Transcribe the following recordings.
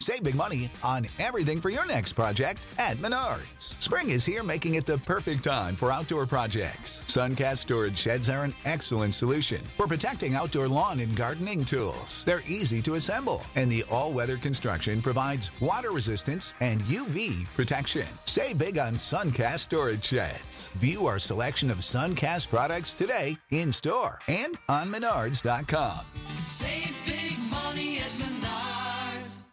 Save big money on everything for your next project at Menards. Spring is here, making it the perfect time for outdoor projects. Suncast storage sheds are an excellent solution for protecting outdoor lawn and gardening tools. They're easy to assemble, and the all weather construction provides water resistance and UV protection. Say big on Suncast storage sheds. View our selection of Suncast products today in store and on Menards.com. Save big money at Menards.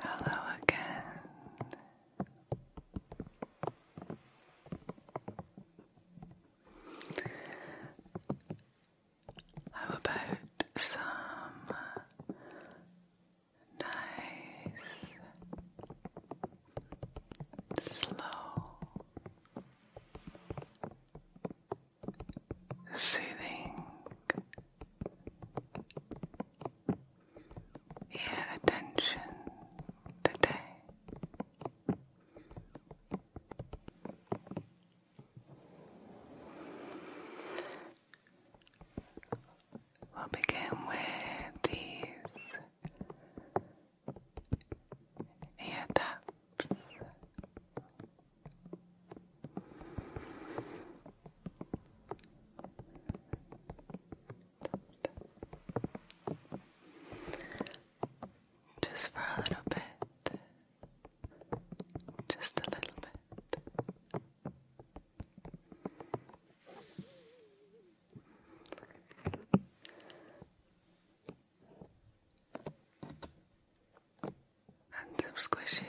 Hello again. How about some nice slow soothing. Your attention today. will begin with these ear taps. Uh, just for a little bit, just a little bit and some squishes.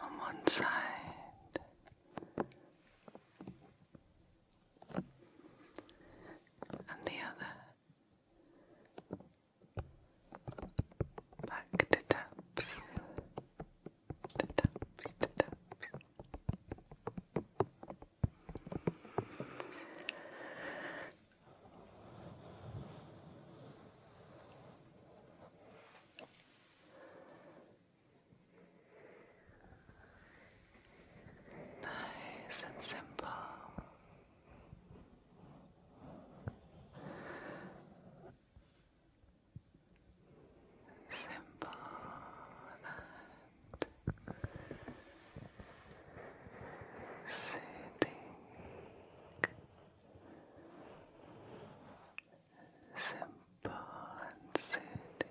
On one side, and the other back to taps, to taps, to taps. Nice and simple. Simple and sitting. Simple and soothing.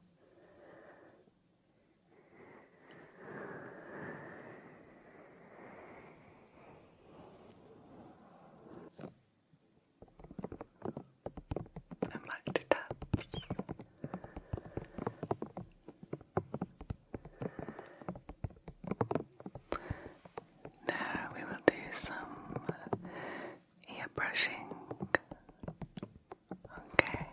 I like to tap. Now we will do some ear brushing. Okay.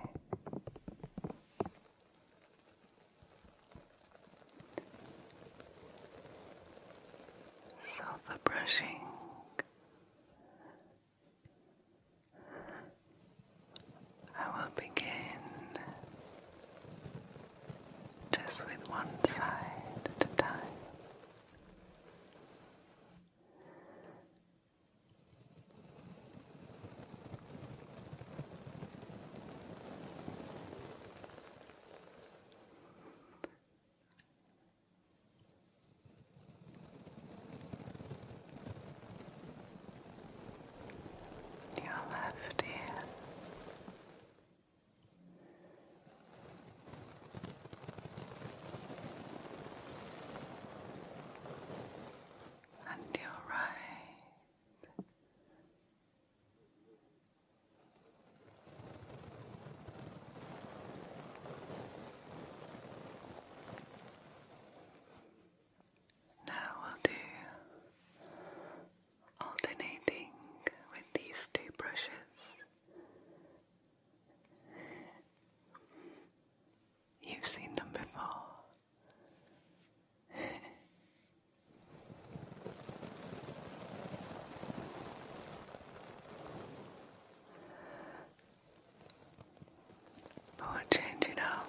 Sofa brushing. I will begin just with one side at a time. Your left ear and your right. Now we'll do alternating with these two brushes You've seen them before. but we'll up.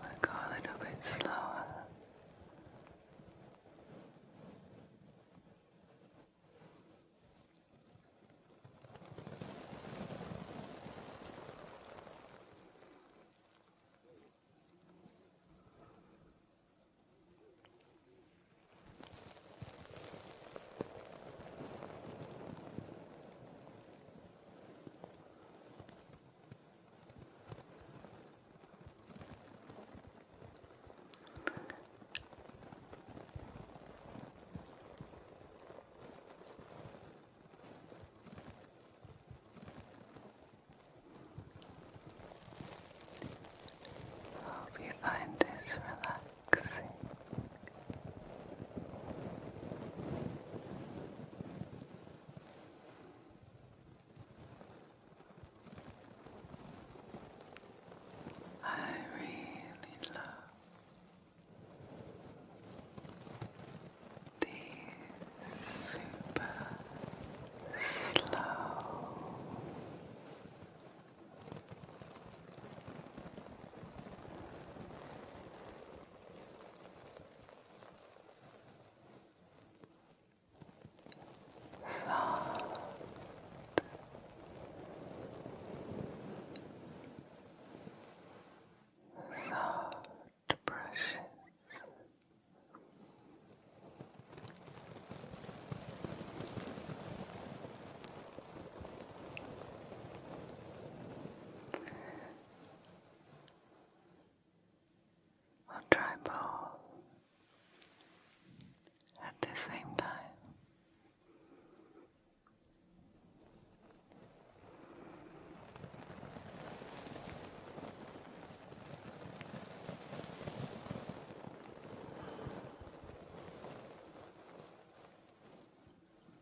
We'll go a little bit slower. Good. Hope you find this relaxing relaxing. I really love these super slow Flood. Soft brushes try both at the same time.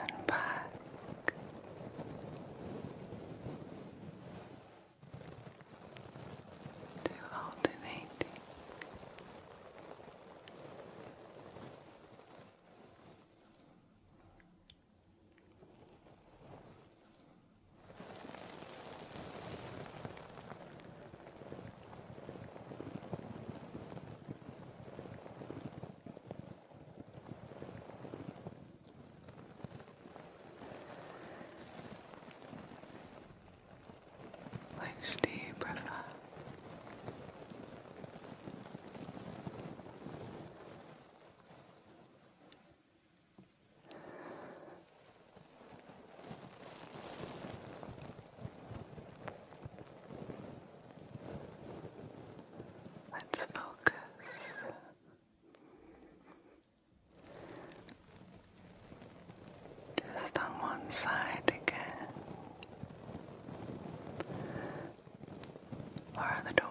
and back. To alternating which do you prefer? Let's focus just on one side again. Or the door.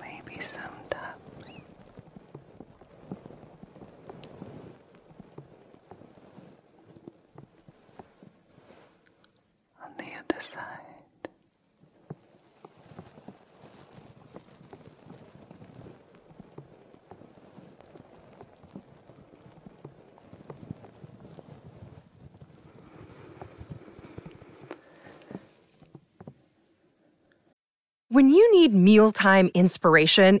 Maybe some on the other side. When you need mealtime inspiration,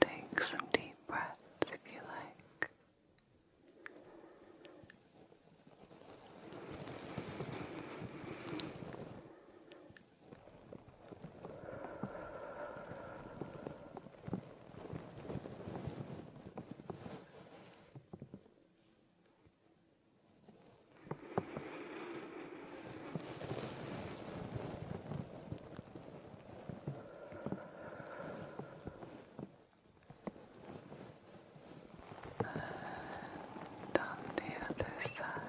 Take some deep breaths if you like. And on the other side.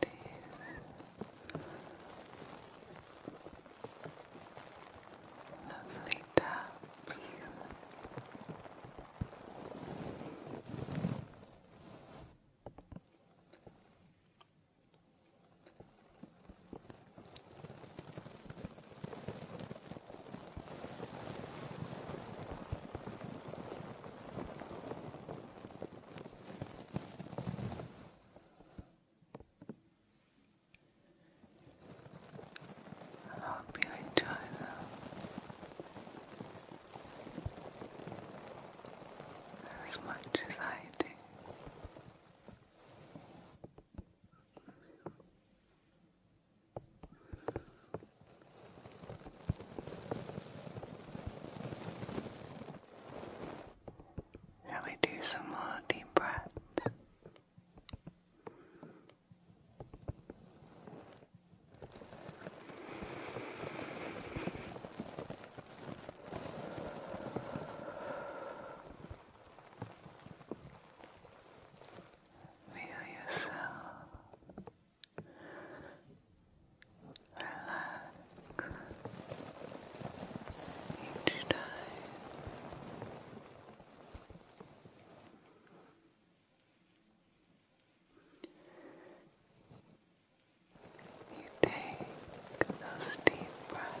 these lovely taps. I hope you enjoy them. As much as I do. Shall we do some more deep breaths? Feel yourself relax each time. You take those deep breaths.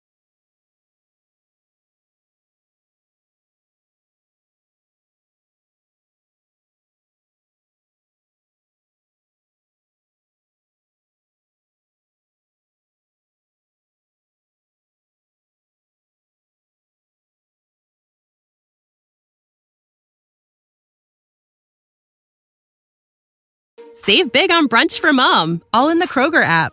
Save big on brunch for mom, all in the Kroger app.